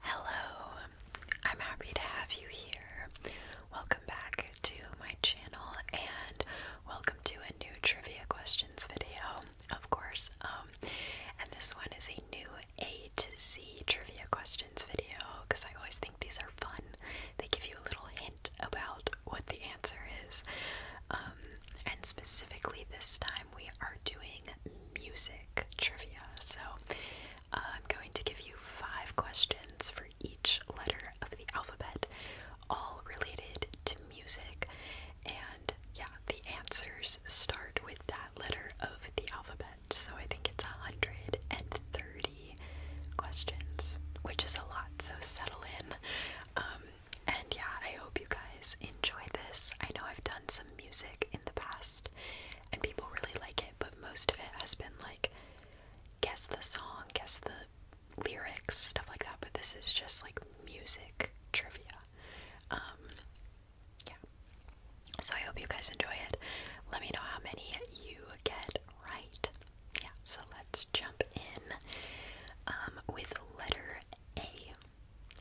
Hello, I'm happy to have you here. Welcome back to my channel and welcome to a new trivia questions video, of course. Um, and this one is a new A to Z trivia questions video because I always think these are fun. They give you a little hint about what the answer is. Um, and specifically this time we are doing music trivia. So I'm going to give you five questions for each letter of the alphabet, all related to music. And yeah, the answers start with that letter of the alphabet. So I think it's 130 questions, which is a lot, so settle in. Um, and yeah, I hope you guys enjoy this. I know I've done some music in the past, and people really like it, but most of it has been like guess the song, guess the lyrics, stuff like that. But this is just like music trivia. Um, yeah. So I hope you guys enjoy it. Let me know how many you get right. Yeah, so let's jump in um, with letter A.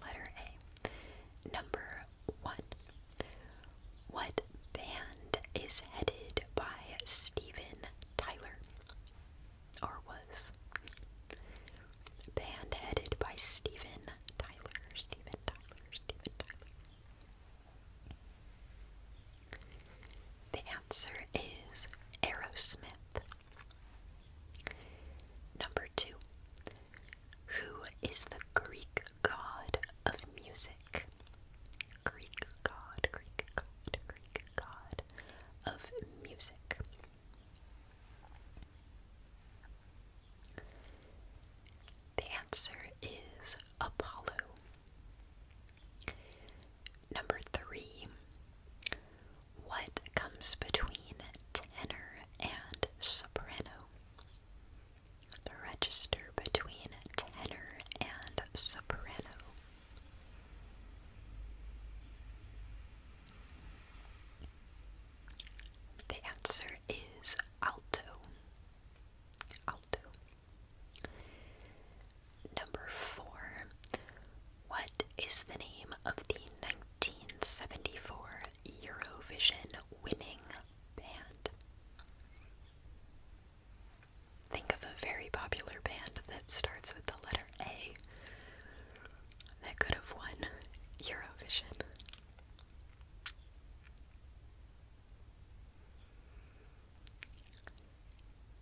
Letter A. Number one. What band is headed by Steven Tyler? Or was? Band headed by Steven Tyler. Steven Tyler. Steven Tyler. The answer is Aerosmith. Number two. Who is the Greek god of music? Greek god, Greek god, Greek god of music. The answer is Apollo. Number three, what comes between tenor and soprano? the register between tenor and soprano. The answer is alto. Alto. Number four. What is the name of the 1974 Eurovision winning Think of a very popular band that starts with the letter A that could have won Eurovision.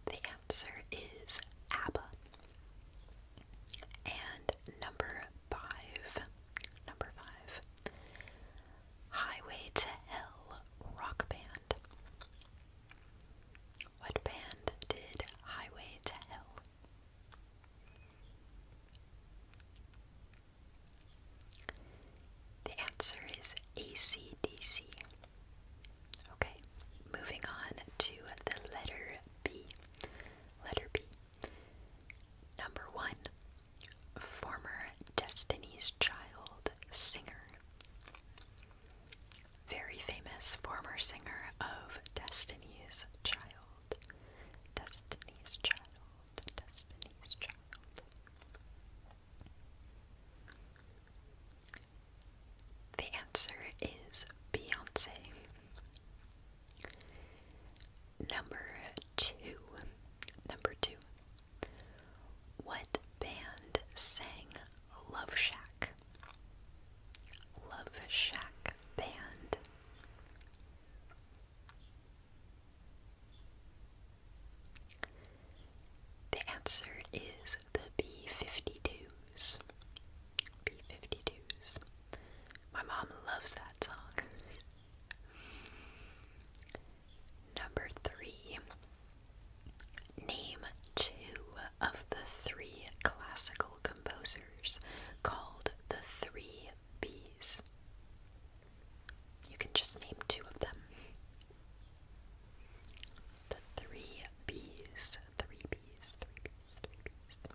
The answer is ABBA. And number five, number five, Highway to Hell rock band. What band did Highway to Hell? The answer is ACDC. Okay, moving on to the letter B. Letter B. Number one, former Destiny's Child singer. Very famous former singer of Destiny's Child. Destiny's Child. Destiny's Child. The answer is Beyonce. Number two. Number two. What band sang Love Shack? Love Shack Band. The answer is the B52s. B52s. My mom loves that song. Number three. Name two of the three classical composers called the Three B's. You can just name two of them. The Three B's, Three B's, Three B's, Three B's.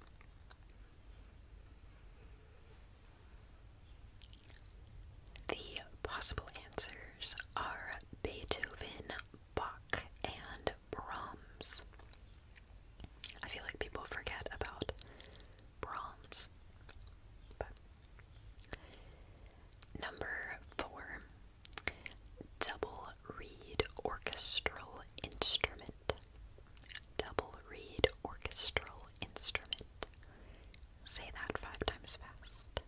The possible answers are Beethoven, Bach, and Brahms. I feel like people forget about Brahms. Number four, double reed orchestral instrument. Double reed orchestral instrument. Say that five times fast.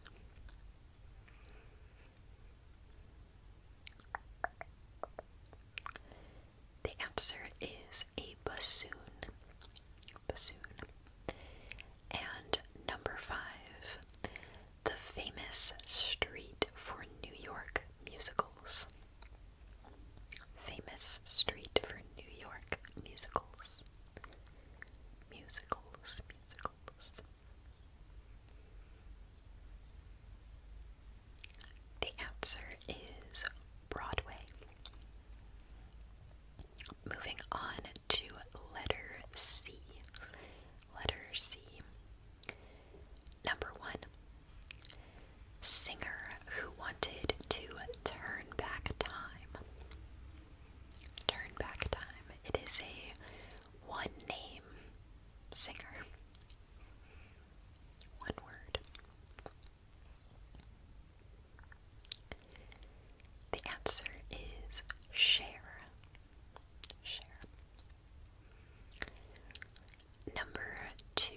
The answer is a bassoon. Bassoon. And number five, the famous street for New York musicals. Famous street for New York musicals. Musicals, musicals. The answer is Broadway. Moving on to letter C. Letter C. Number one. Singer who wanted to turn back time. Turn back time. It is a one name singer. One word. The answer is share. Share. Number two.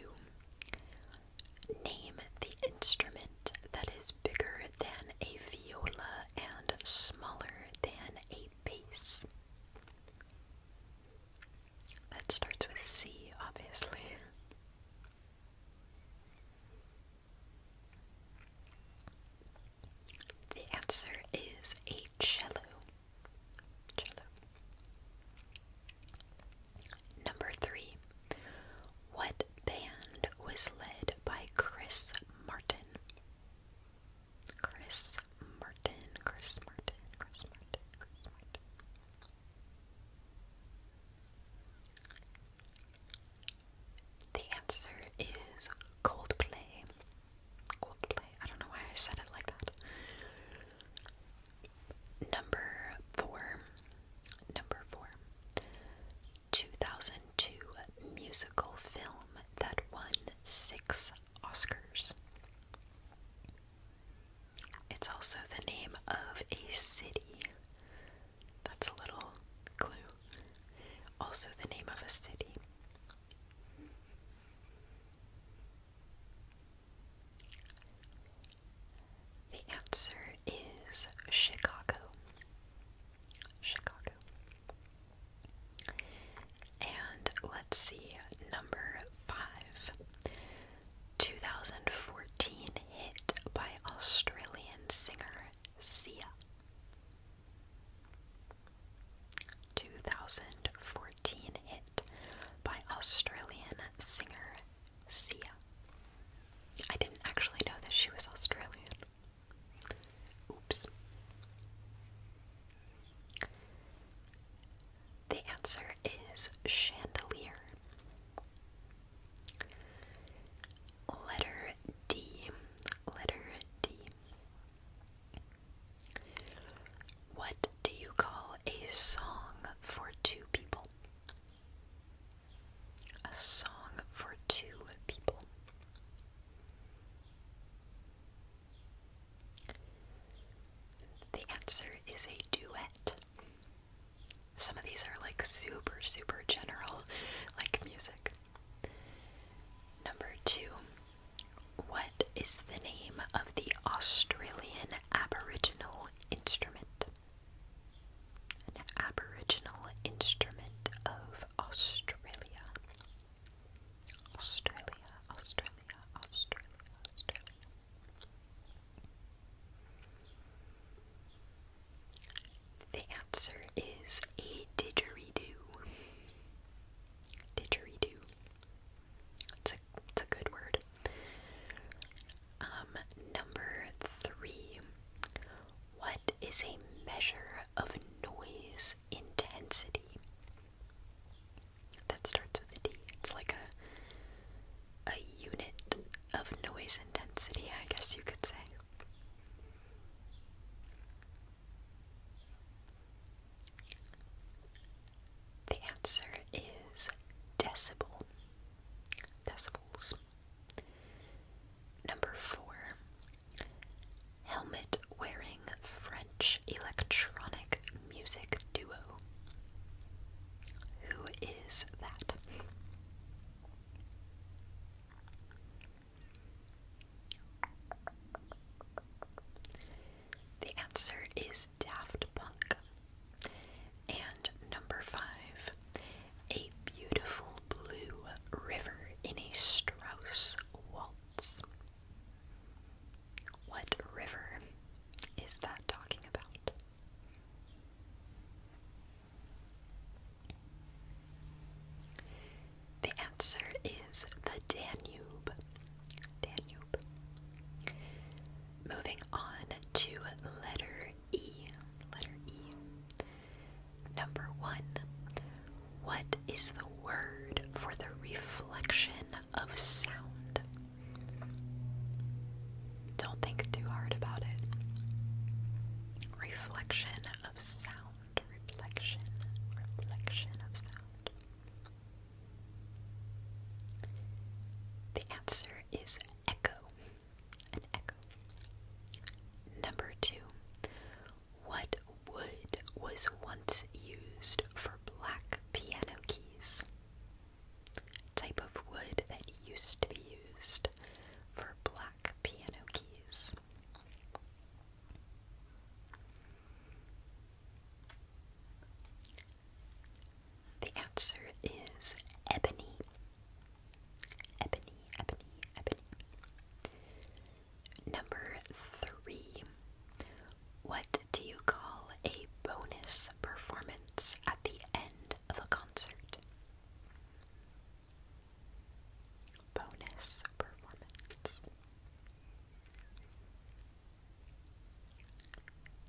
Name the instrument that is bigger than a viola and smaller than a bass. That starts with C, obviously. The answer is a cello. Cello. Number three, what band was led by Chris Martin? Chris Martin, Chris Martin, Chris Martin, Chris Martin. The answer is Coldplay. Coldplay. I don't know why I said it like that. Number four. Number four, 2002 musical film that won six Oscars. It's also the name of a city. That's a little clue. Also, the name of a city. The answer is Chicago. Chicago. And let's see, number five 2014 hit by Australian singer Sia. 2014 hit by Australian singer Sia. I didn't actually know that she was Australian. Oops. The answer is chandelier. Letter D. Letter D. What do you call a song for two people? A song for two people. The answer is a duet. Some of these are like super, super general, like music. Number two, what is the name of the Australian Aboriginal instrument? an Aboriginal instrument of Australia. Australia, Australia, Australia, Australia. The answer is a didgeridoo. Didgeridoo. It's a, it's a good word. Um, number three. What is a measure of noise intensity? That starts with a D. It's like a a unit of noise intensity, I guess you could say. The answer is decibel decibels. Number four, helmet wearing French electronic music duo. Who is that? The answer is Daft Punk. And number five, a beautiful blue river in a Strauss waltz. What river is that talking about? The answer is the Danube. Danube. Moving on to letter E. Letter E. Number one. What is the word for the reflection of sound? Don't think too hard about it. Reflection of sound. Reflection. Reflection of sound. The answer is echo. Number two, what wood was once used for black piano keys? Type of wood that used to be used for black piano keys. The answer is ebony. Ebony, ebony, ebony. Number three. What do you call a bonus performance at the end of a concert? Bonus performance.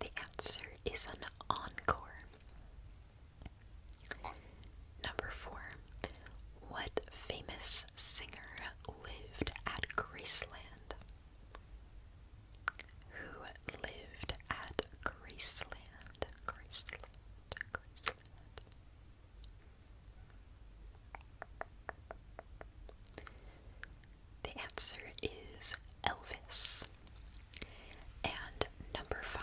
The answer is an encore. Number four, what famous singer lived at Graceland? Who lived at Graceland? Graceland, Graceland. The answer is Elvis. And number five,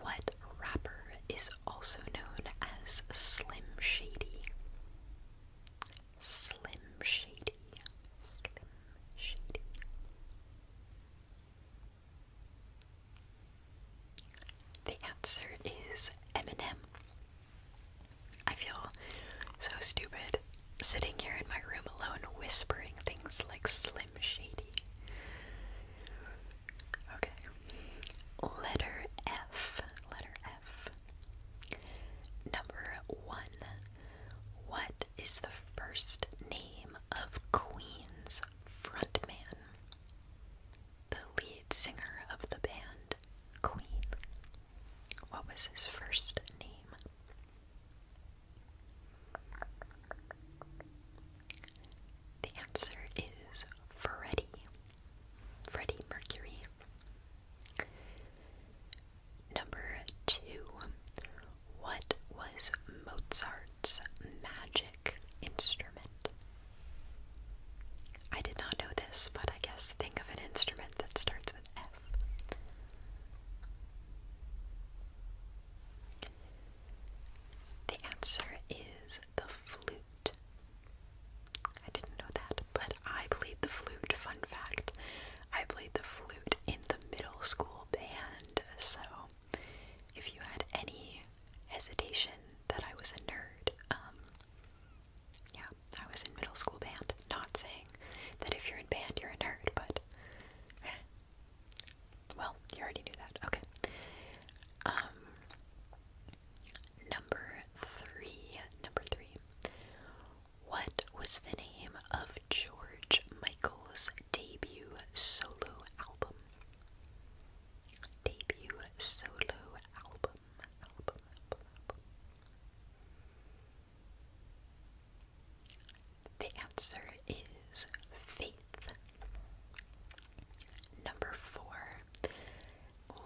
what rapper is also known as Slim Shady? Slim Shady. Slim Shady. The answer is Eminem. I feel so stupid sitting here in my room alone whispering things like Slim Shady. Okay. Letter F. Letter F. Number one. What is the first name of Queen's frontman? The lead singer of the band, Queen. What was his first name? The answer is Freddie. Freddie Mercury. Number two. What was Mozart's magic instrument? I did not know this, but I guess think of an instrument that starts with F. The answer is the flute. I didn't know that, but I played the flute. Fun fact I played the flute in the middle school band, so if you had any hesitation that I was a nerd, um, yeah, I was in middle school band. Not saying that if you're in band, you're a nerd, but well, you already knew that. Okay. Um, number 3, number 3. What was the name of George Michael's debut solo album? Debut solo album. The answer is faith. Number four,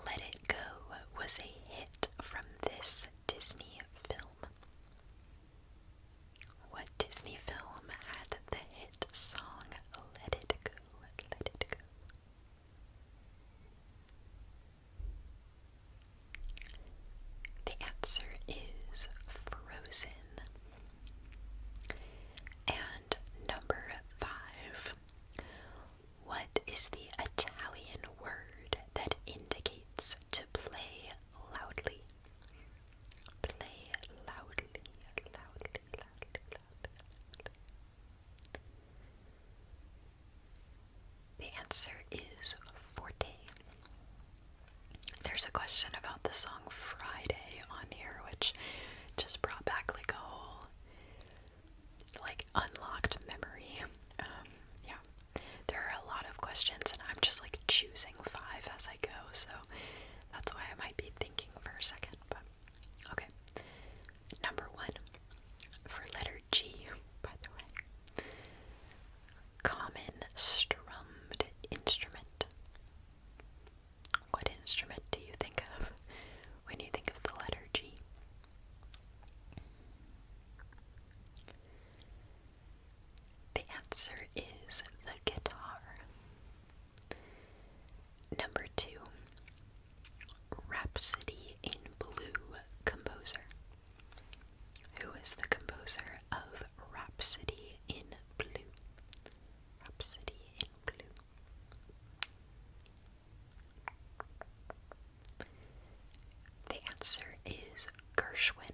Let It Go was a hit from this Disney film. What Disney film had the hit song Let It Go? Let It Go. The answer is Frozen. And number five. What is the Italian word that indicates to play loudly? Play loudly, loudly, loudly, The answer is forte. There's a question about the song Friday on here, which just brought back like a whole like unlocked memory. Um, yeah. There are a lot of questions and I'm just like choosing five as I go, so that's why I might be thinking for a second, but okay. Number one for letter G, by the way. Common strummed instrument. What instrument do you think of when you think of the letter G? The answer is the guitar. Number two, Rhapsody in Blue composer. Who is the composer of Rhapsody in Blue, Rhapsody in Blue. The answer is Gershwin.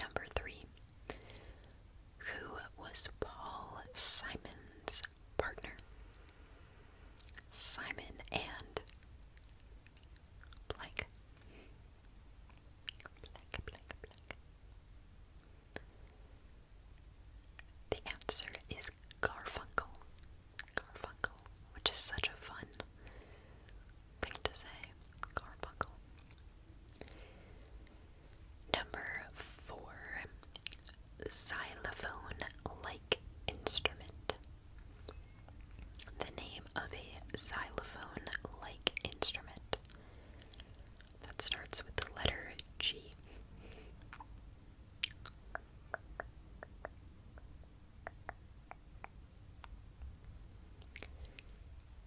Number three. Who was Paul Simon's partner? Simon and blank. Black, The answer is Garfunkel. Garfunkel, which is such a fun thing to say. Garfunkel. Number four, xylophone like instrument. The name of a xylophone like instrument that starts with the letter G.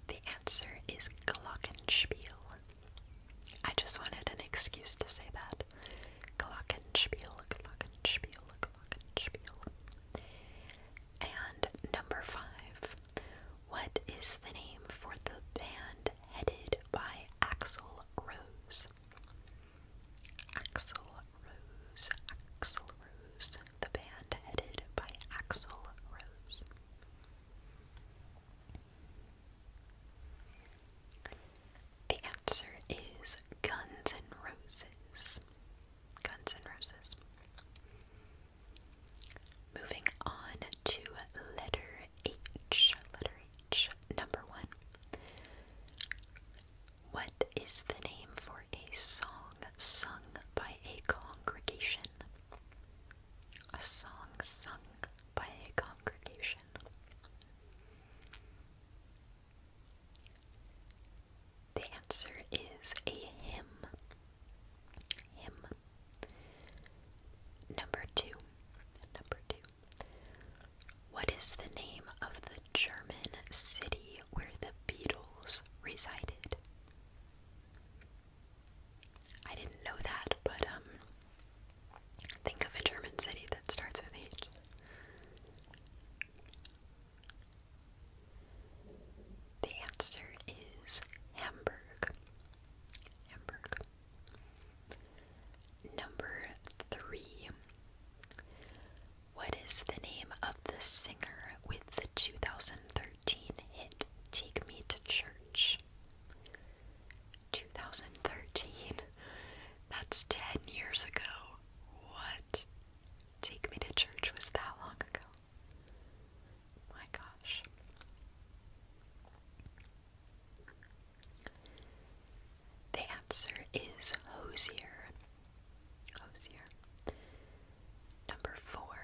The answer is Glockenspiel. I just wanted an excuse to say that. Glockenspiel, Glockenspiel, Glockenspiel. And number five what is the name for the band headed by Axel Rose? Axel Rose, Axel Rose, the band headed by Axel Rose. The answer is Guns N' Roses. Guns N' Roses. Moving on to letter H. Letter H, number one. What is the name for a song sung by a congregation? A song sung by a congregation. The answer is a hymn. Him. Number two. Number two. What is the name of the German city where the Beatles resided? I didn't know that, but um think of a German city that starts with H. The answer is Hamburg. Hamburg. Number three. What is the name of the singer with the 2013 hit Take Me to Church? 2013? That's 10 years ago. What? Take Me to Church was that long ago. My gosh. The answer is hosier. Hosier. Number four.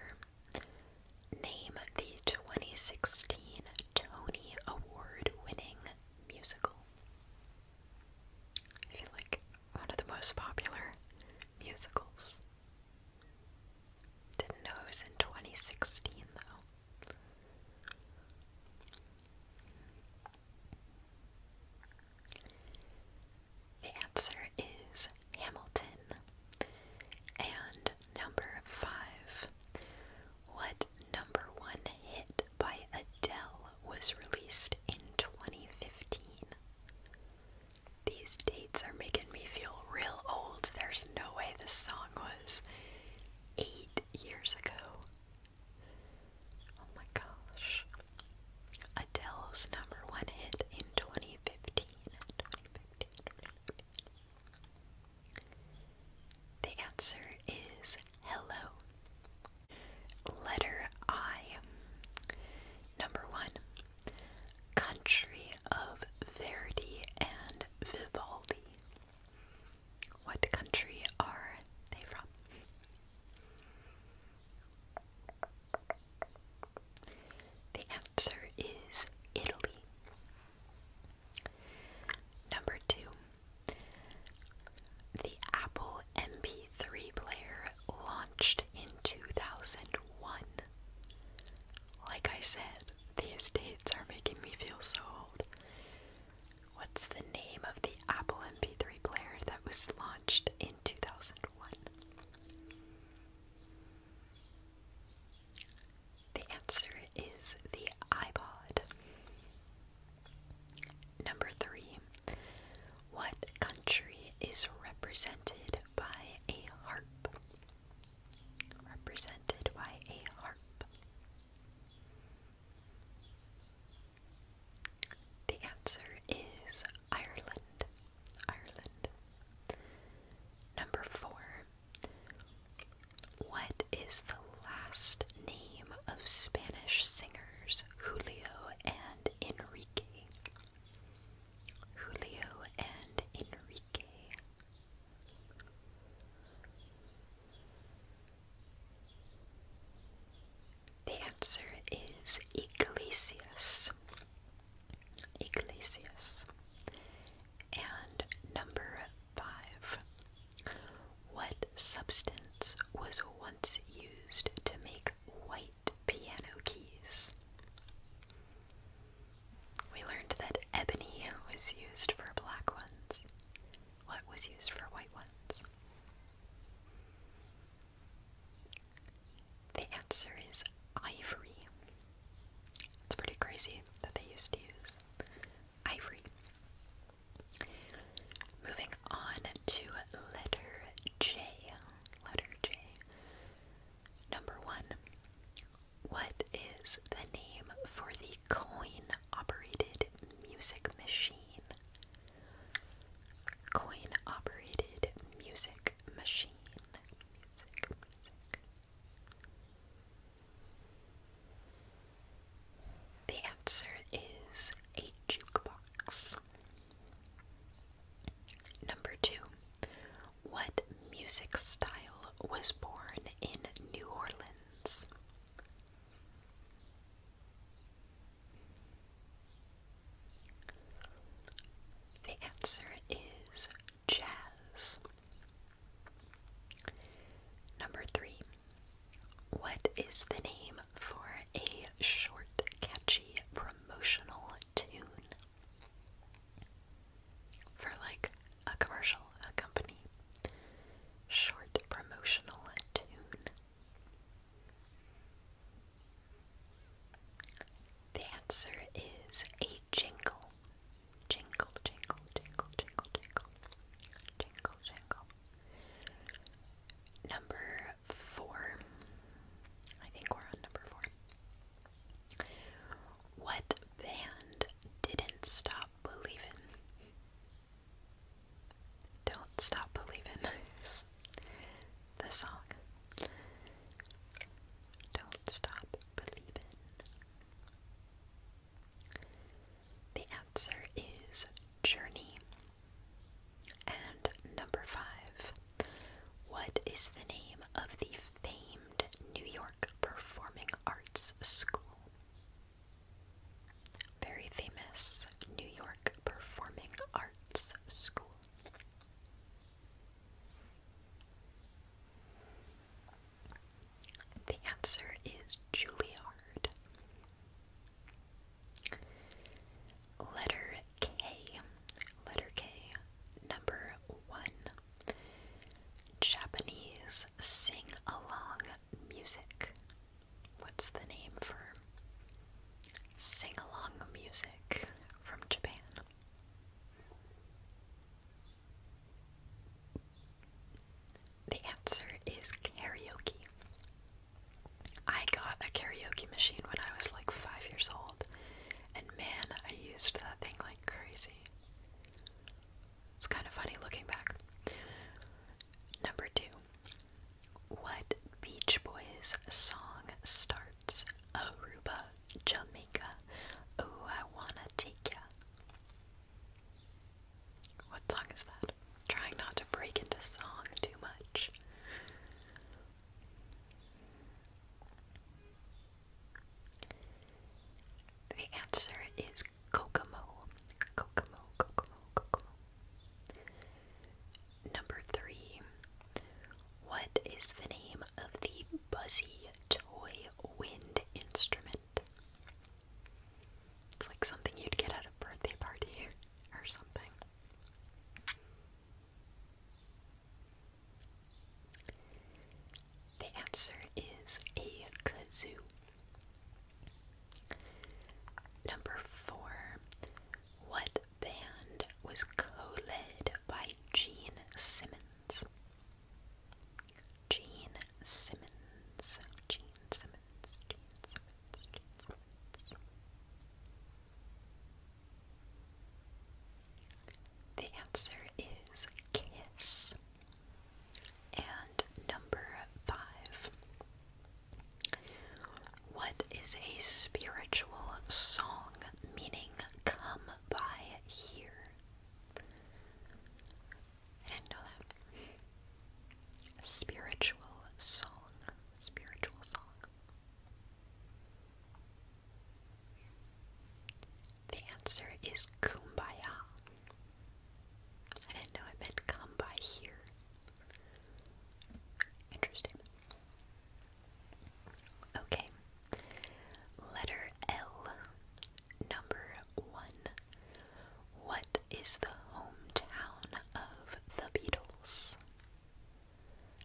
Name the 2016 Tony Award winning musical. I feel like one of the most popular musicals didn't know it was in 2016 though. The answer is Hamilton. And number five. What number one hit by Adele was released in 2015? These dates are making me feel real old. There's no way this song was eight years ago. Oh my gosh. Adele's number one hit in 2015. The answer is hello. Letter I. Number one, country of Verdi and Vivaldi. What country are they from? The answer is Italy. Number two, the Apple MP3 player launched in 2001. Like I said, these dates are making me feel so old. What's the name of the Apple MP3 player that was launched in 2001? The answer is the iPod. Number three, what country is represented by a harp? represented by a harp? The answer is Ireland. Ireland. Number four. What is the last name of Spanish singers Julio and Enrique? Julio and Enrique. The answer is Iglesias. Iglesias. And number five. What substance was once used to make white piano keys. We learned that ebony was used for black ones. What was used for white ones? The answer is ivory. It's pretty crazy that they used to use ivory. Moving on to letter J. Letter J. Number one, what is the name for the coin operated music machine? Coin operated music machine. The answer is a jukebox. Number two, what music style was born in New Orleans? The answer is jazz. Number three. What is the name for a short, catchy promotional tune? for like a commercial, a company, short promotional tune. The answer is a jingle. Jingle, jingle, jingle, jingle, jingle. Jingle, jingle. Number four. I think we're on number four. What band didn't stop believing? Don't stop believing the song. Don't stop believing. The answer is Journey. And number five, what is the name of the famed New York Performing Arts School? Very famous New York Performing Arts School. The answer is Juilliard. Letter K Letter K. Number one. Japanese sing along music. What's the name for sing along music from Japan? The answer is karaoke. I got a karaoke machine when I was like five years old, and man, I used that thing like crazy. It's kind of funny looking back. Number two. What Beach Boys song starts Aruba, Jamaica? Oh, I wanna take ya. What song is that? Trying not to break into song too much. The answer is Kokomo. Kokomo, Kokomo, Kokomo. Number three. What is the name of the buzzy toy wind instrument? It's like something you'd get at a birthday party or something. The answer is a kazoo. Number four. What band was co led by Gene Simmons? Gene Simmons. Gene Simmons. Gene Simmons. Gene Simmons. The answer is kiss. And number five. What is a spiritual song meaning come by here? I didn't know that. spiritual song. Spiritual song. The answer is kumbaya. I didn't know it meant come by here. Interesting. Okay. Letter L. Number one. What is the hometown of the Beatles?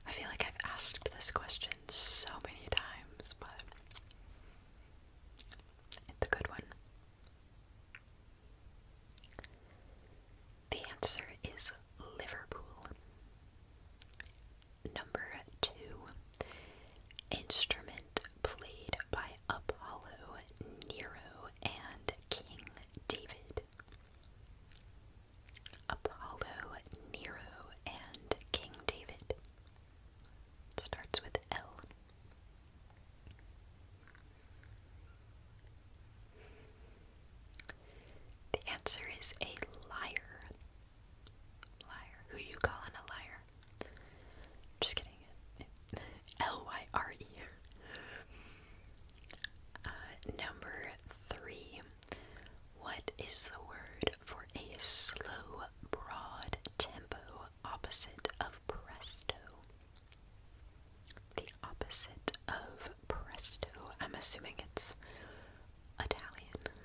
I feel like I've asked this question so many times, but it's a good one. The answer is Liverpool. Number two, instrument played by Apollo, Nero, and King David. Apollo, Nero, and King David. Starts with L. The answer is a liar. Liar. Who do you calling a liar? Just kidding. L Y R E. Uh, number three. What is the word for a slow, broad tempo opposite of presto. The opposite of presto. I'm assuming it's Italian.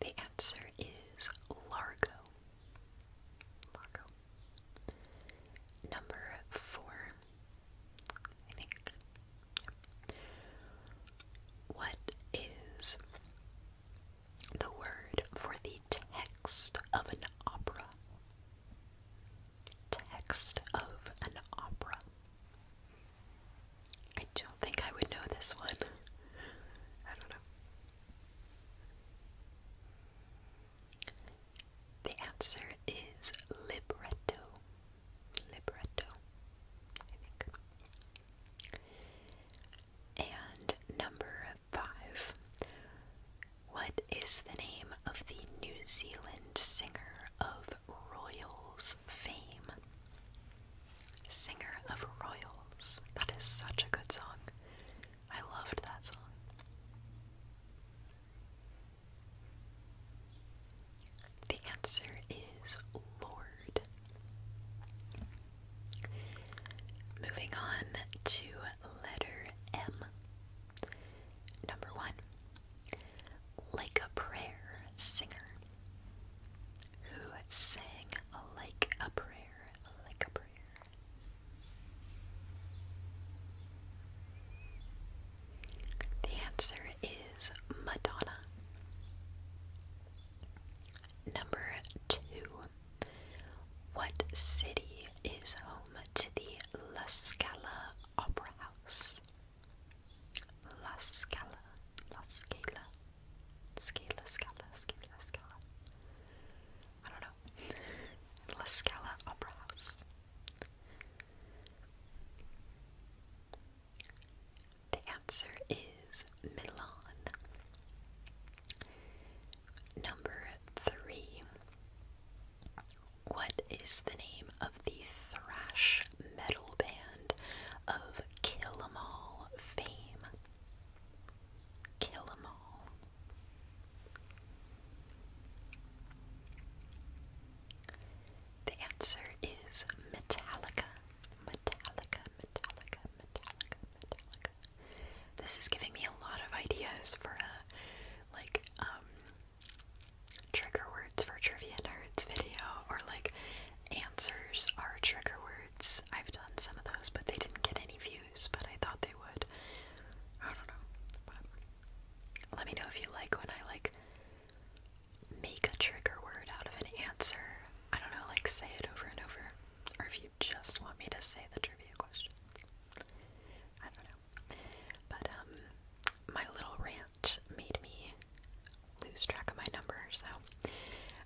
The answer is largo. Largo. Number four, I think. What is the word for the text of an opera? Text of an opera. I don't think I would know this one. I don't know. The answer is libretto. Libretto, I think. And number five. What is the name of the New Zealand singer of Royals fame? Singer of Royals. That is such a good song. I loved that song. The answer is Lord. Moving on to letter M. Number one, like a prayer singer. Who sang like a prayer, like a prayer? The answer is Madonna. Number two. What city is home to the La Scala Opera House? La Scala, La Scala, Scala, Scala, Scala, Scala. I don't know. La Scala Opera House. The answer is Milan. Number three. What is the name of the thrash metal band of Kill 'Em All fame? Kill 'Em All. The answer is Metallica. Metallica, Metallica, Metallica, Metallica. This is giving me a lot of ideas for a uh, like um trigger words for trivia nerds video or like answers are trigger words. I've done some of those but they didn't get any views, but I thought they would. I don't know. Let me know if you like when I like make a trigger word out of an answer. I don't know, like say it over and over. Or if you just want me to say the trivia question. I don't know. But um my little rant made me lose track of my number, so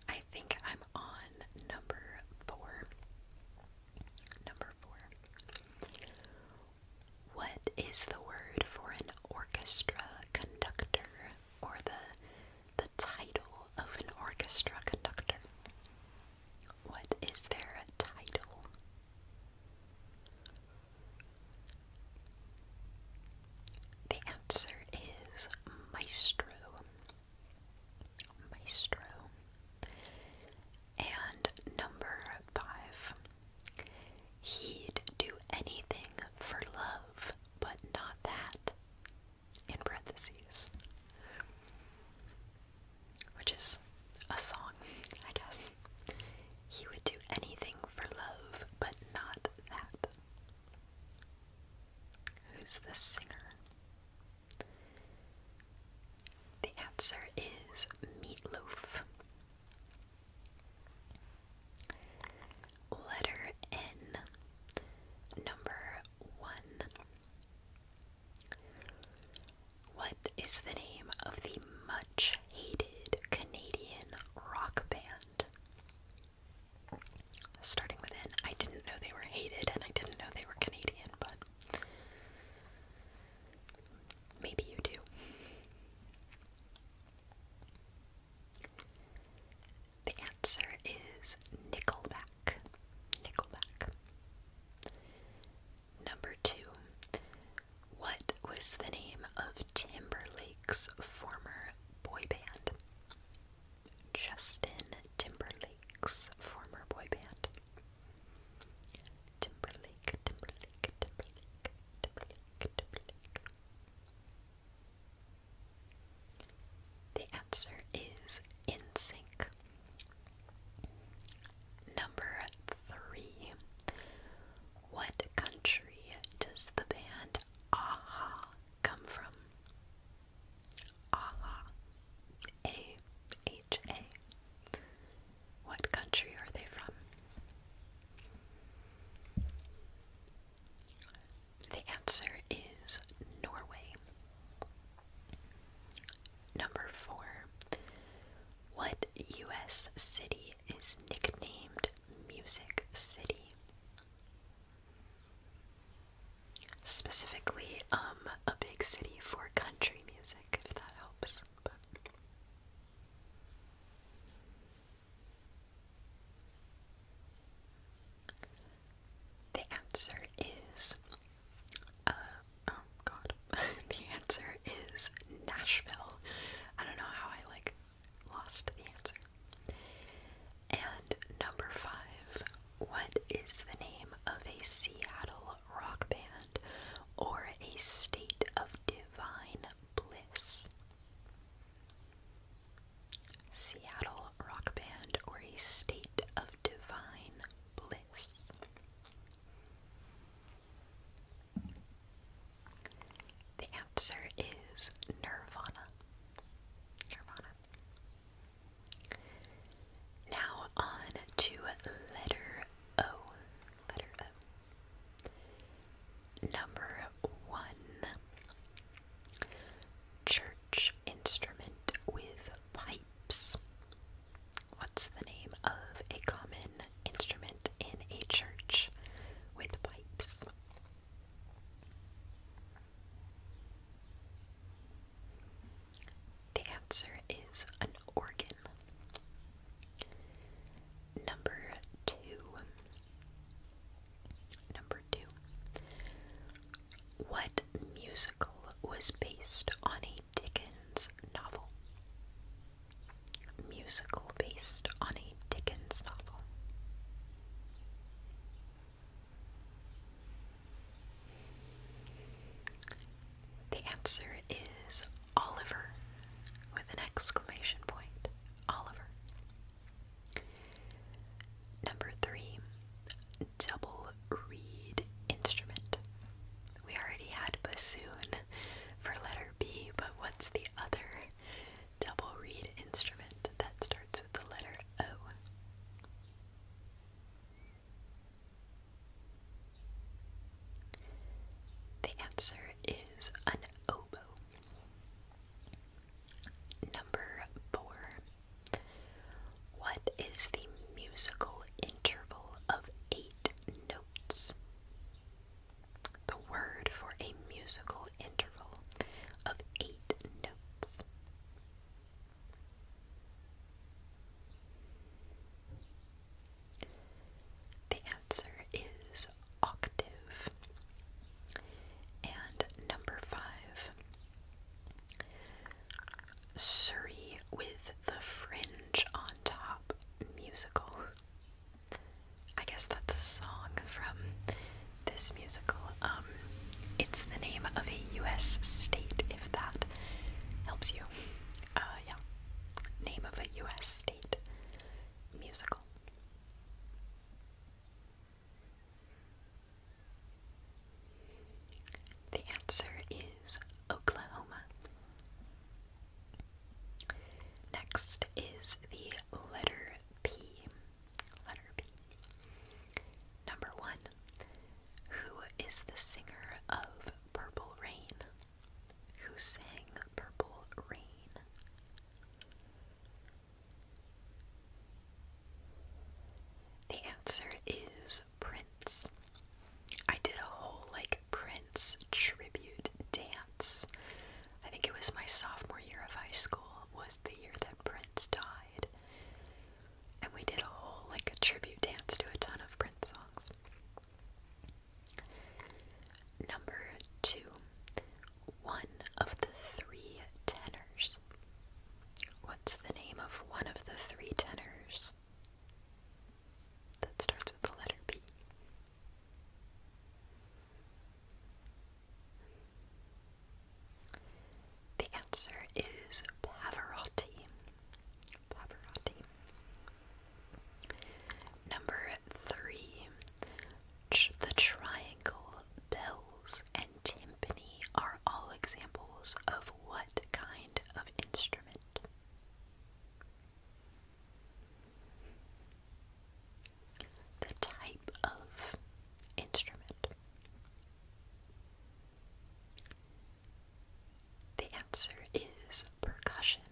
I think I'm on number four. Number four. What is the word for an orchestra conductor or the the title of an orchestra conductor? What is there a title? The answer is maestro. Maestro. And number five, he'd do anything for love, but not that. In parentheses. Which is a song, I guess. He would do anything for love, but not that. Who's the singer? The answer is Meatloaf. Letter N, number one. What is the name of the much hated Canadian rock band? Starting with N, I didn't know they were hated and I didn't know they were Canadian, but Maybe you do. The answer is Nickelback. Nickelback. Number two. What was the name of Timberlake's former boy band? Justin Timberlake's former boy band. Timberlake, Timberlake, Timberlake, Timberlake, Timberlake. The answer is in sync. Number three. What country does the band Aha come from? Aha. A H-A. What country are they from? The answer is Norway. Number four. What U.S. city is nicknamed Music City? Specifically, um, a big city for country music, if that helps the answer is uh, oh god. the answer is Nashville. I don't know how I like lost the answer. And number five, what is the name of a Seattle rock band or a state of divine bliss. Seattle rock band or a state of divine bliss. The answer is Nirvana. Nirvana. Now on to letter O letter Number one Church instrument with pipes. What's the name of a common instrument in a church with pipes? The answer is an organ. Number two. Number two. What musical was based on a Dickens novel? Musical based on a Dickens novel. The answer is Oliver with an exclamation point. Oliver. Number three, double reed instrument. We already had bassoon for letter B, but what's the other double reed instrument that starts with the letter O? The answer is an oboe. Number four. What is the musical interval of eight notes? The word for a musical interval of eight notes. The answer is octave. And number five, Surrey with the fringe on top musical. I guess that's a song from this musical. Um, it's the name of a U.S. state, if that helps you. Uh, yeah, name of a U.S musical. The answer is Oklahoma. Next is the letter P. Letter P. Number one. Who is the singer of Purple Rain? who sang Purple Rain. The answer is Prince. I did a whole like Prince tribute dance. I think it was my sophomore year of high school was the year that Prince died. And we did a whole like a tribute dance to a ton of Prince songs. Number two, one of the three tenors. What's the name of one of the three tenors? That starts with the letter B. The answer is Pavarotti. Number three, the triangle, bells, and timpani are all examples of what kind of instrument? The type of instrument. The answer is percussion.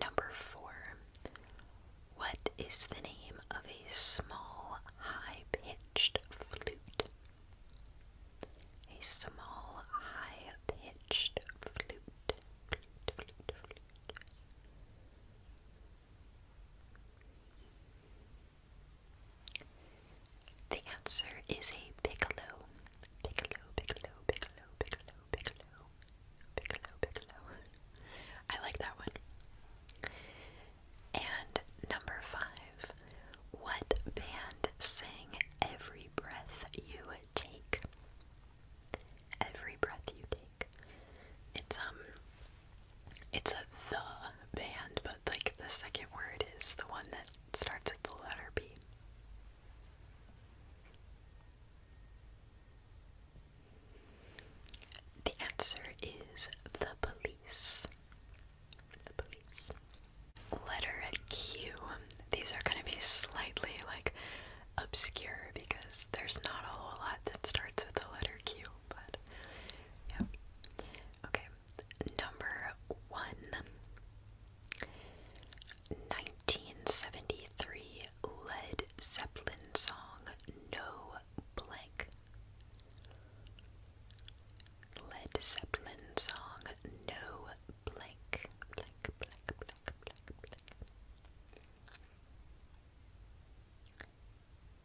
Number four. What is the name of a small, high pitched flute? A small, high pitched flute. flute. The answer is a piccolo. Piccolo, piccolo, piccolo, piccolo, piccolo, piccolo, piccolo. I like that one. And number five, what band sang every breath you take? Every breath you take. It's um it's a the band, but like the second word is the one that starts with the letter B. The answer is the police. The police. Letter Q. These are going to be slightly like obscure because there's not a whole lot that starts with the letter Q, but yeah. Okay, number one. 1973 Led Zeppelin song No Blank. Led Zeppelin song No Blank.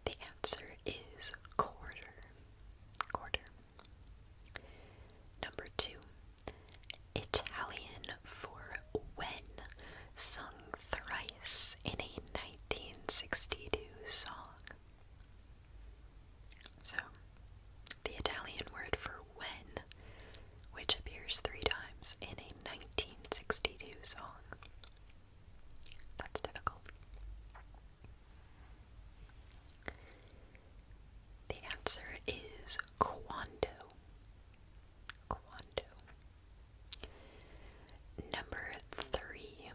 The answer is quarter. Quarter. Number two. Italian for when, sung thrice in a 1962 song. So, the Italian word for when, which appears three times in a 1962 song. That's difficult. The answer is Quando. Number three,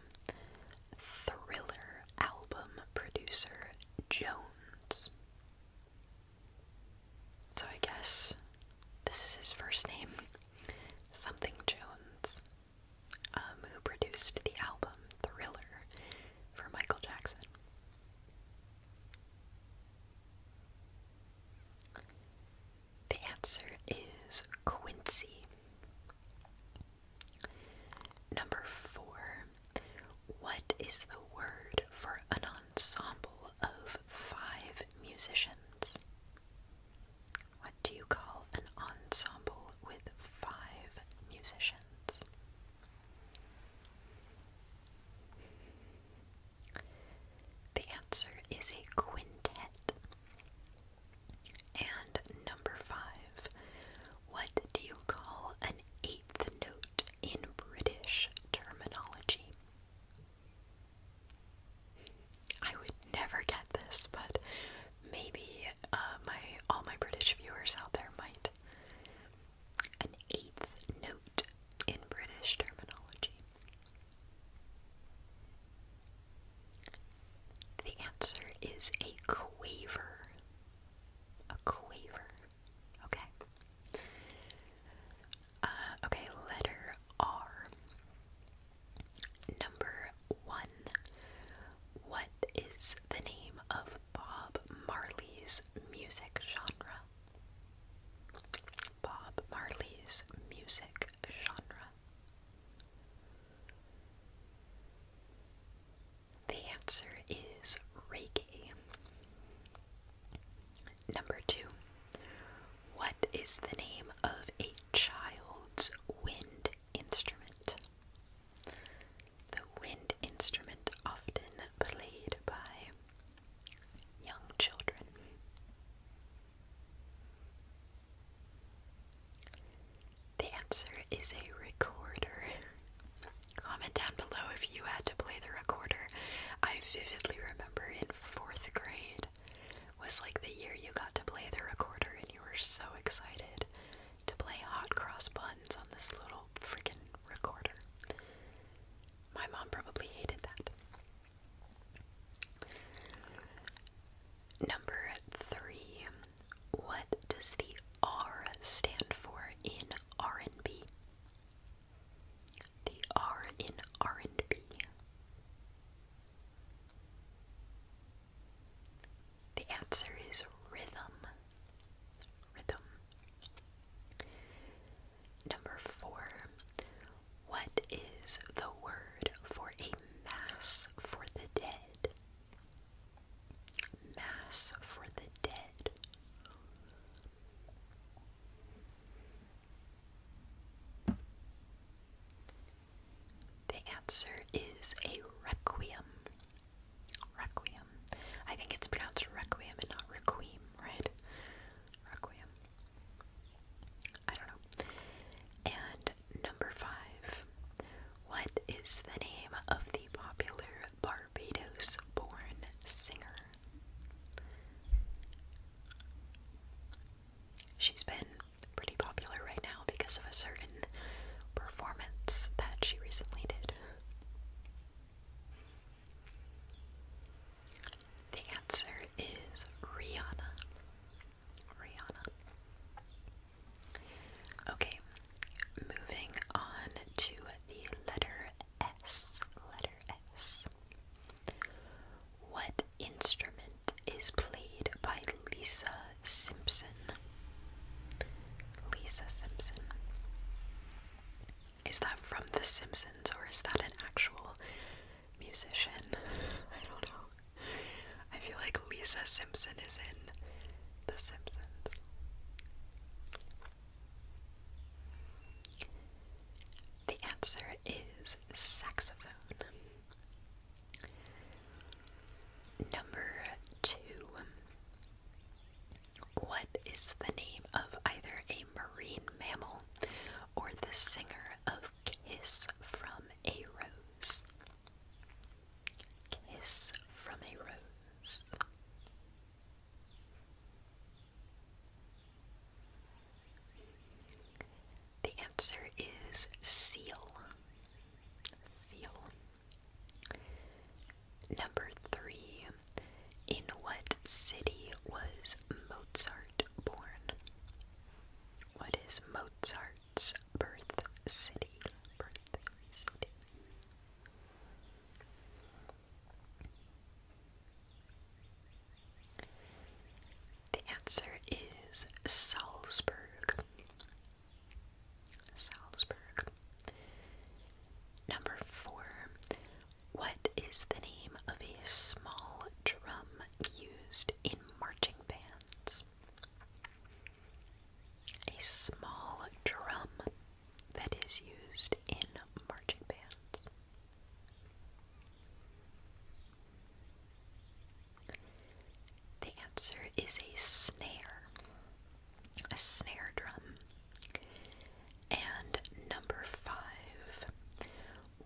thriller album producer Jones. So I guess this is his first name, something Jones, um, who produced the album Thriller for Michael Jackson. The answer is Quincy. Number four. What is the word for an ensemble of five musicians? What do you call an ensemble with five musicians? The answer is a quintet. And number five, what do you call an eighth note in British terminology? I would never get this, but maybe uh, my all my British viewers out there might an eighth note in British terminology? The answer is a quaver. A quaver. Okay. Uh, okay, letter R. Number one. What is the name of Bob Marley's music genre. Bob Marley's music genre. The answer is reggae. Number two. What is the name of a child's wind instrument? The wind instrument often played by young children. The answer is a recorder. Comment down below if you had to play the recorder. I vividly remember in fourth grade was like the year you got to play the recorder and you were so excited to play hot cross buns on this little freaking recorder. My mom probably hated that. Number three, what does the R stand for in R&B? The R in R&B. The answer is rhythm. Number four, what is the word for a mass for the dead? Mass for the dead. The answer is a requiem. Requiem. I think it's pronounced Requiem and not Requiem, right? Requiem. I don't know. And number five. What is the name of the popular Barbados born singer? She's been pretty popular right now because of a certain performance that she recently did. The answer is Rihanna. Rihanna. Okay, moving on to the letter S. Letter S. What instrument is played by Lisa Simpson? Lisa Simpson. Is that from The Simpsons or is that an actual musician? I don't know. I feel like Lisa Simpson is in The Simpsons. The answer is saxophone. Number two. What is the name of either a marine mammal or the singer of Kiss from a Rose? Kiss from a Rose. The answer is seal. Seal. Number three, in what city was Mozart born? What is Mozart's birth city? The answer is Salzburg. Salzburg. Number four, what is the name of a small drum used in marching bands? A small drum that is used in marching bands. The answer is a snare a snare drum. And number five,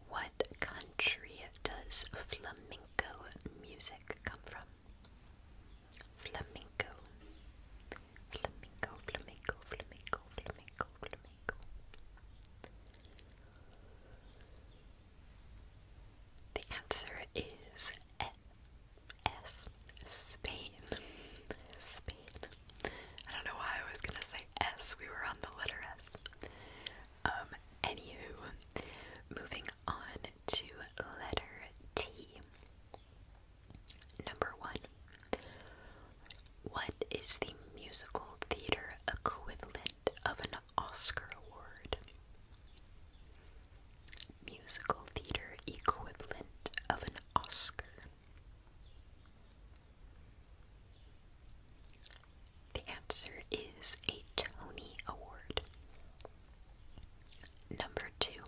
what country does flamenco music come from? Flamenco. Flamenco, flamenco, flamenco, flamenco, The answer is S. Spain. Spain. I don't know why I was gonna say S. We were on the letter S. Um, anywho, moving on to letter T. Number one. What is the musical theater equivalent of an Oscar award? Musical theater equivalent of an Oscar. The answer is a Tony Award. Number two.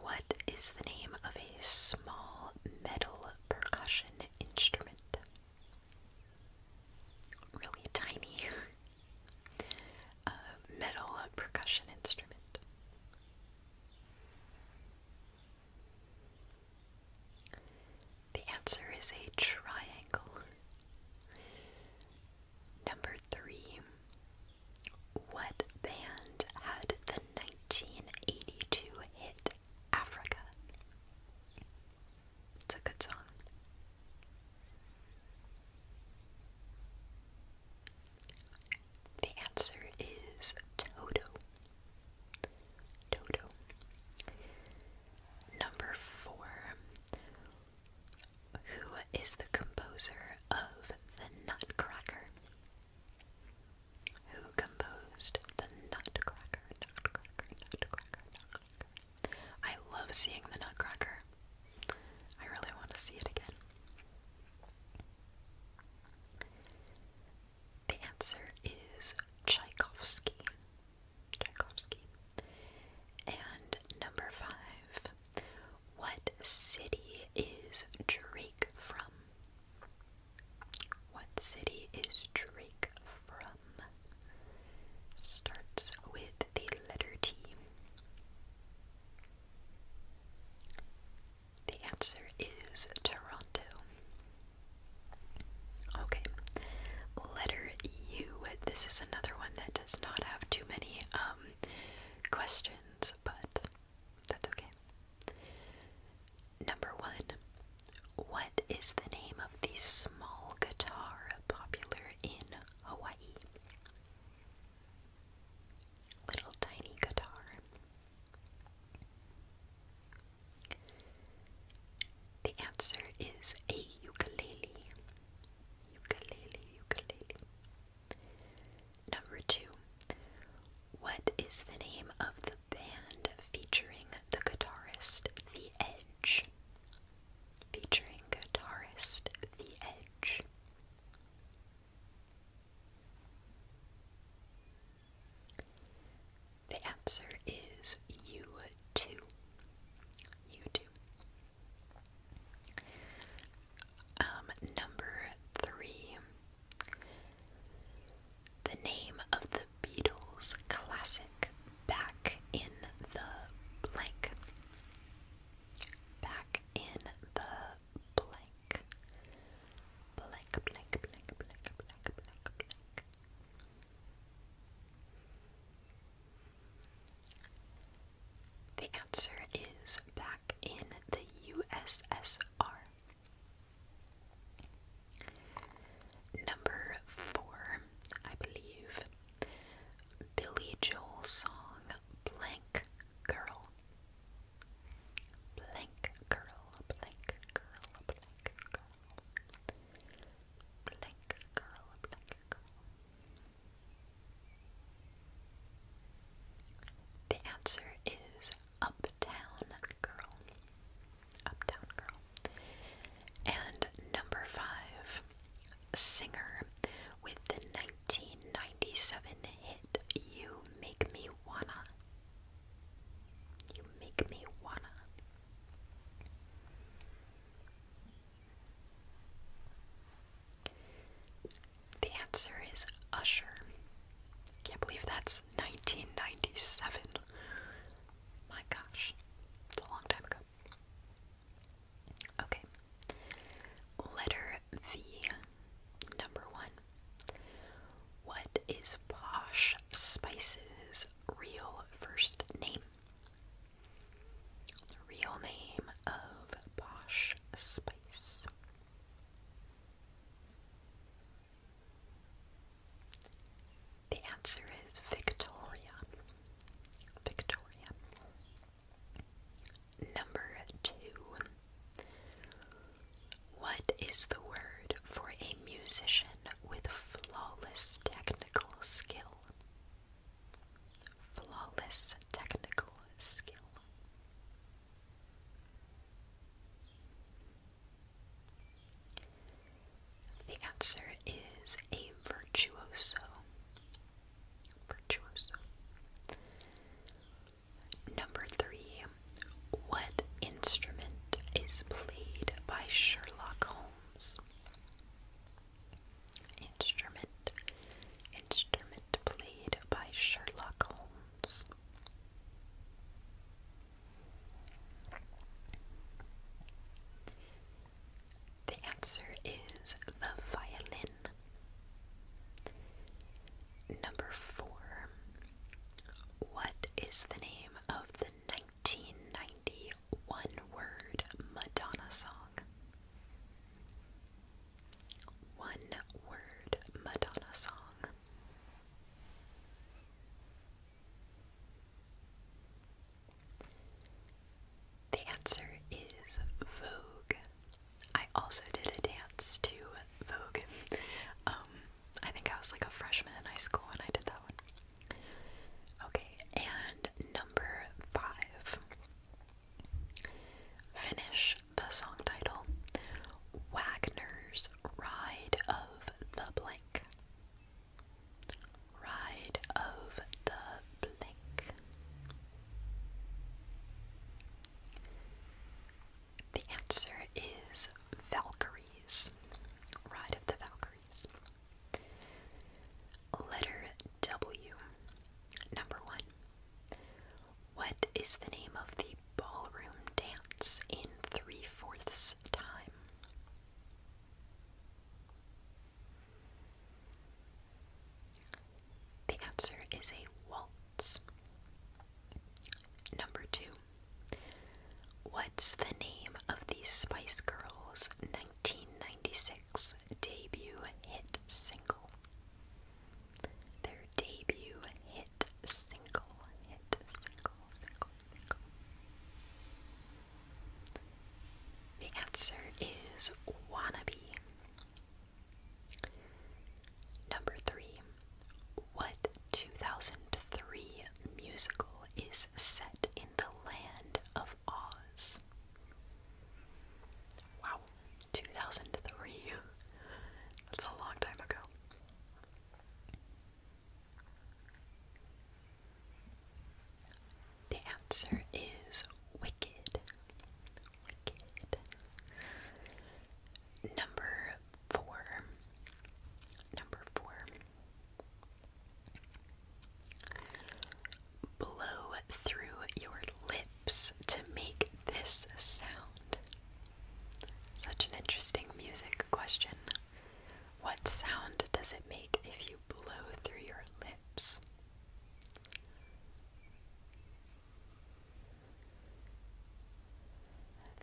What is the name of a small metal percussion instrument? Really tiny. a metal percussion instrument. The answer is a triangle. Number three. What band had the 1982 hit Africa? It's a good song. The answer is Toto. Toto. Number four. Who is the composer of The Nutcracker? Who composed The Nutcracker? Nutcracker, Nutcracker, Nutcracker. I love seeing The Nutcracker. I really want to see it again. The answer is Tchaikovsky. Tchaikovsky. And number five, what city is Drake from? What city is Drake from? Starts with the letter T. The answer is Toronto. Okay, letter U. This is another one that does not have too many um, questions, but that's okay. Number one. What is the name of the small guitar popular in Hawaii? little tiny guitar. The answer is a ukulele. Ukulele, ukulele. Number two. What is the name of the band featuring the guitarist The Edge? Featuring guitarist The Edge. The answer is you too. U2. Um, number three. The name of the Beatles classic Back in the Blank. Back in the blank. Blank, blank, blank, blank, blank, blank, The answer is back in the USSR. Number four, I believe. Billy Joel song blank curl. Blank curl, blank curl, blank curl. Blank curl, blank curl. The answer is Uptown Girl. Uptown Girl. And number five, singer with the 1997 hit You Make Me Wanna. You Make Me Wanna. The answer is Usher. Can't believe that's 1997. My gosh, it's a long time ago. Okay. Letter V. Number one. What is Posh Spice's real first name? The real name of Posh Spice. The answer is Victoria. Victoria. Number two. What is the word for a musician with flawless technical skill? Flawless technical skill. The answer is a virtuoso. Number three, what instrument is played by Sherlock Holmes? Instrument, instrument played by Sherlock Holmes. The answer is the violin. Number four. What is the name of the 1990 word Madonna song? One word Madonna song. The answer is Vogue. I also did a dance to Vogue. Um, I think I was like a freshman in high school when I did that one. Okay, and number five. Finish the song title Wagner's Ride of the Blank. Ride of the Blank. The answer is Valkyries. Ride of the Valkyries. Letter W. Number one. What is the name of the ballroom dance in three fourths time? The answer is a waltz. Number two. What's the name of the Spice Girls' 1996 debut hit single? Their debut hit single, single. The answer is Wannabe. Number three, what 2003 musical is set in the land of Oz? Wow, 2003. That's a long time ago. The answer is Wicked. Number four. Number four. Blow through your lips to make this sound. Such an interesting music question. What sound does it make if you blow through your lips?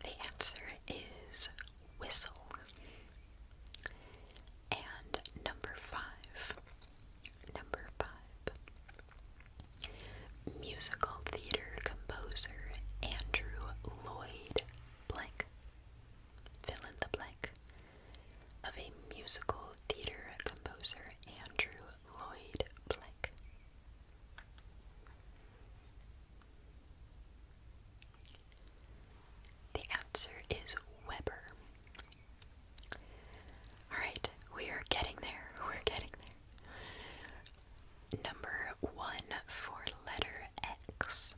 The answer is whistle. And number five, number five, musical theater composer Andrew Lloyd Blank. Fill in the blank of a musical theater composer Andrew Lloyd Black. The answer is Weber. Alright, we are getting there. We're getting there. Number one for letter X.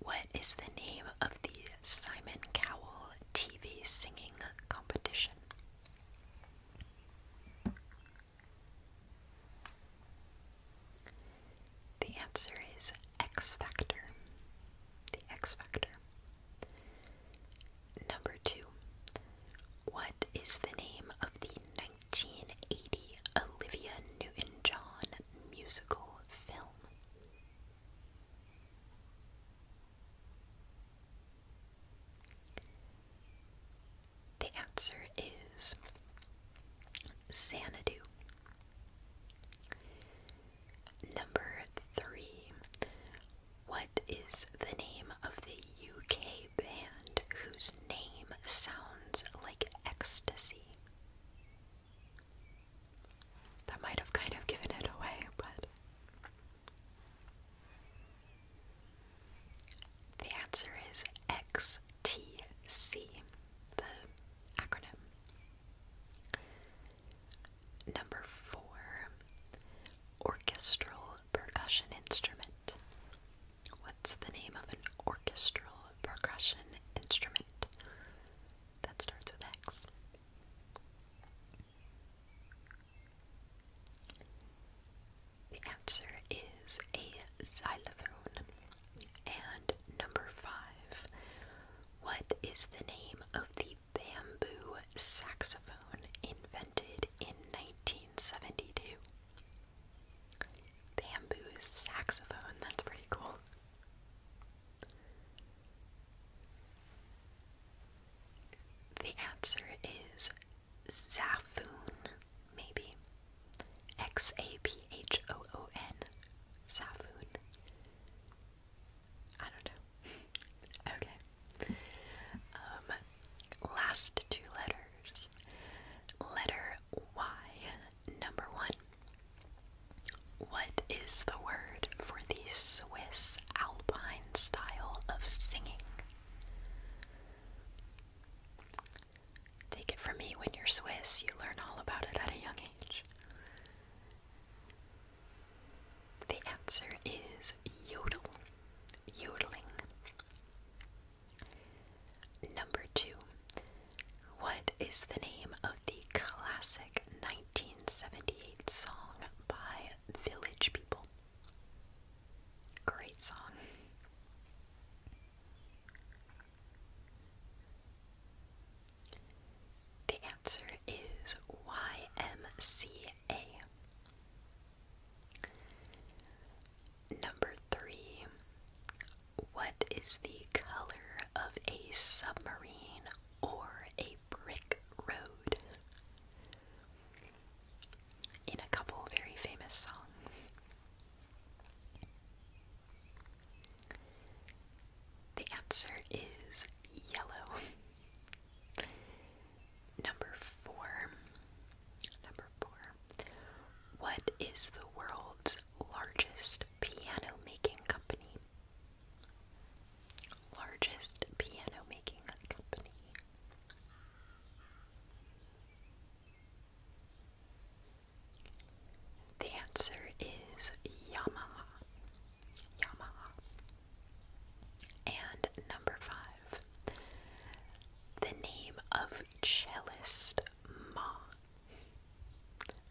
What is the name of the Simon Cowell TV singing competition? The answer is X Factor. The X Factor. Number two. What is the name of the 1980 Olivia Newton John musical film? The answer is Xanadu. Number three. What is the name of the UK band whose name sounds like ecstasy? That might have kind of given it away, but the answer is XTC, the acronym. Number four, orchestral percussion instrument. What's the name of an orchestral percussion instrument? That starts with X. The answer is a xylophone. And number five, what is the name of the bamboo saxophone invented in 1972? Bamboo saxophone, that's pretty cool. The answer is Zaphoon, maybe. X A P H O O N. Saphoon. I don't know. okay. Um, last two letters. Letter Y, number one. What is the word for the Swiss Alpine style of singing? Take it from me when you're Swiss, you learn all about it at a young age. The answer is yodel, yodeling. Number two, what is the name of the classic 1978 song by Village People? Great song. The answer is YMCA. Number three. What is the color of a submarine or a brick road? in a couple very famous songs. The answer is yellow. Number four. Number four. What is the world's largest piano making company? largest piano making company. The answer is Yamaha. Yamaha. And number five, the name of cellist Ma.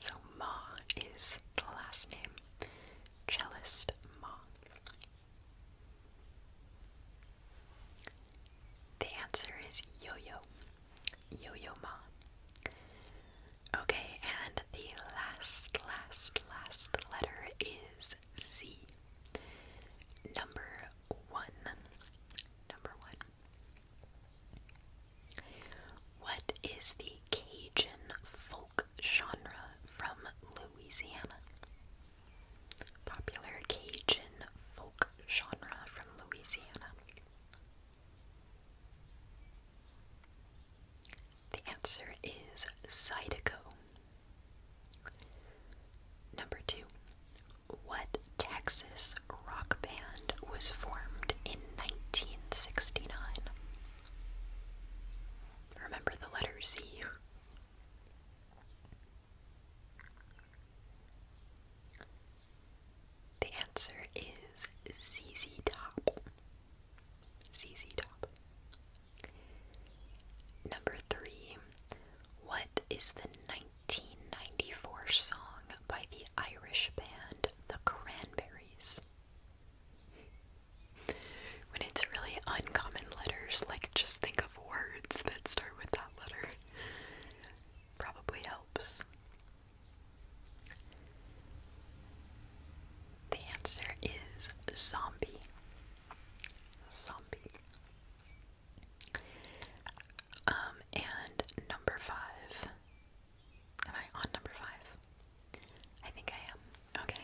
So Ma is the last name. Cellist Ma. The answer is Yo Yo. Yo Yo Ma. Okay, and the last, last, last letter is Z. Number one. Number one. What is the Cajun full genre from Louisiana. Popular Cajun folk genre from Louisiana. The answer is Zydeco. Number two, what Texas rock band was formed in 1969? Remember the letter Z? The answer is ZZ Top. ZZ Top. Number three. What is the 1994 song by the Irish band The Cranberries? When it's really uncommon letters, like just think of words that start with that letter. Probably helps. The answer is zombie. Zombie. Um, and number five. Am I on number five? I think I am. Okay.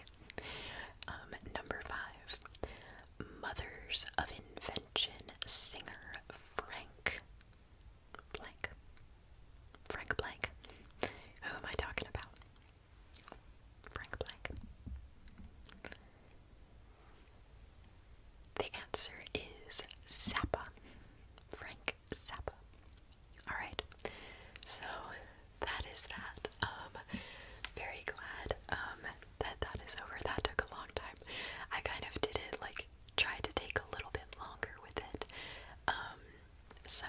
Um, number five, Mothers of Invention singer Frank Blank. Frank Blank. Who am I talking about? Frank Blank. The answer is Zappa. Frank Zappa. Alright, so that is that. Um, very glad um, that that is over. That took a long time. I kind of did it like tried to take a little bit longer with it. Um, so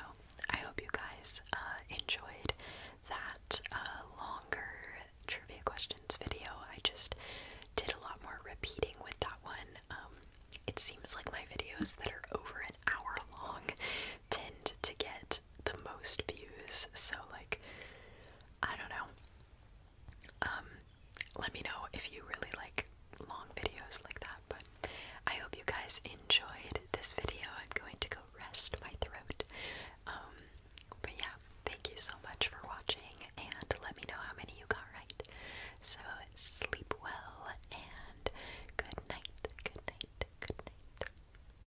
I hope you guys uh, enjoyed that uh, longer trivia questions video. I just did a lot more repeating with that one. Um, it seems like my videos that are over an hour long tend to get the most views. So like I don't know. Um, let me know if you really like long videos like that, but I hope you guys enjoyed this video. I'm going to go rest my throat. Um, but yeah, thank you so much for watching and let me know how many you got right. So sleep well and good night. Good night. Good night.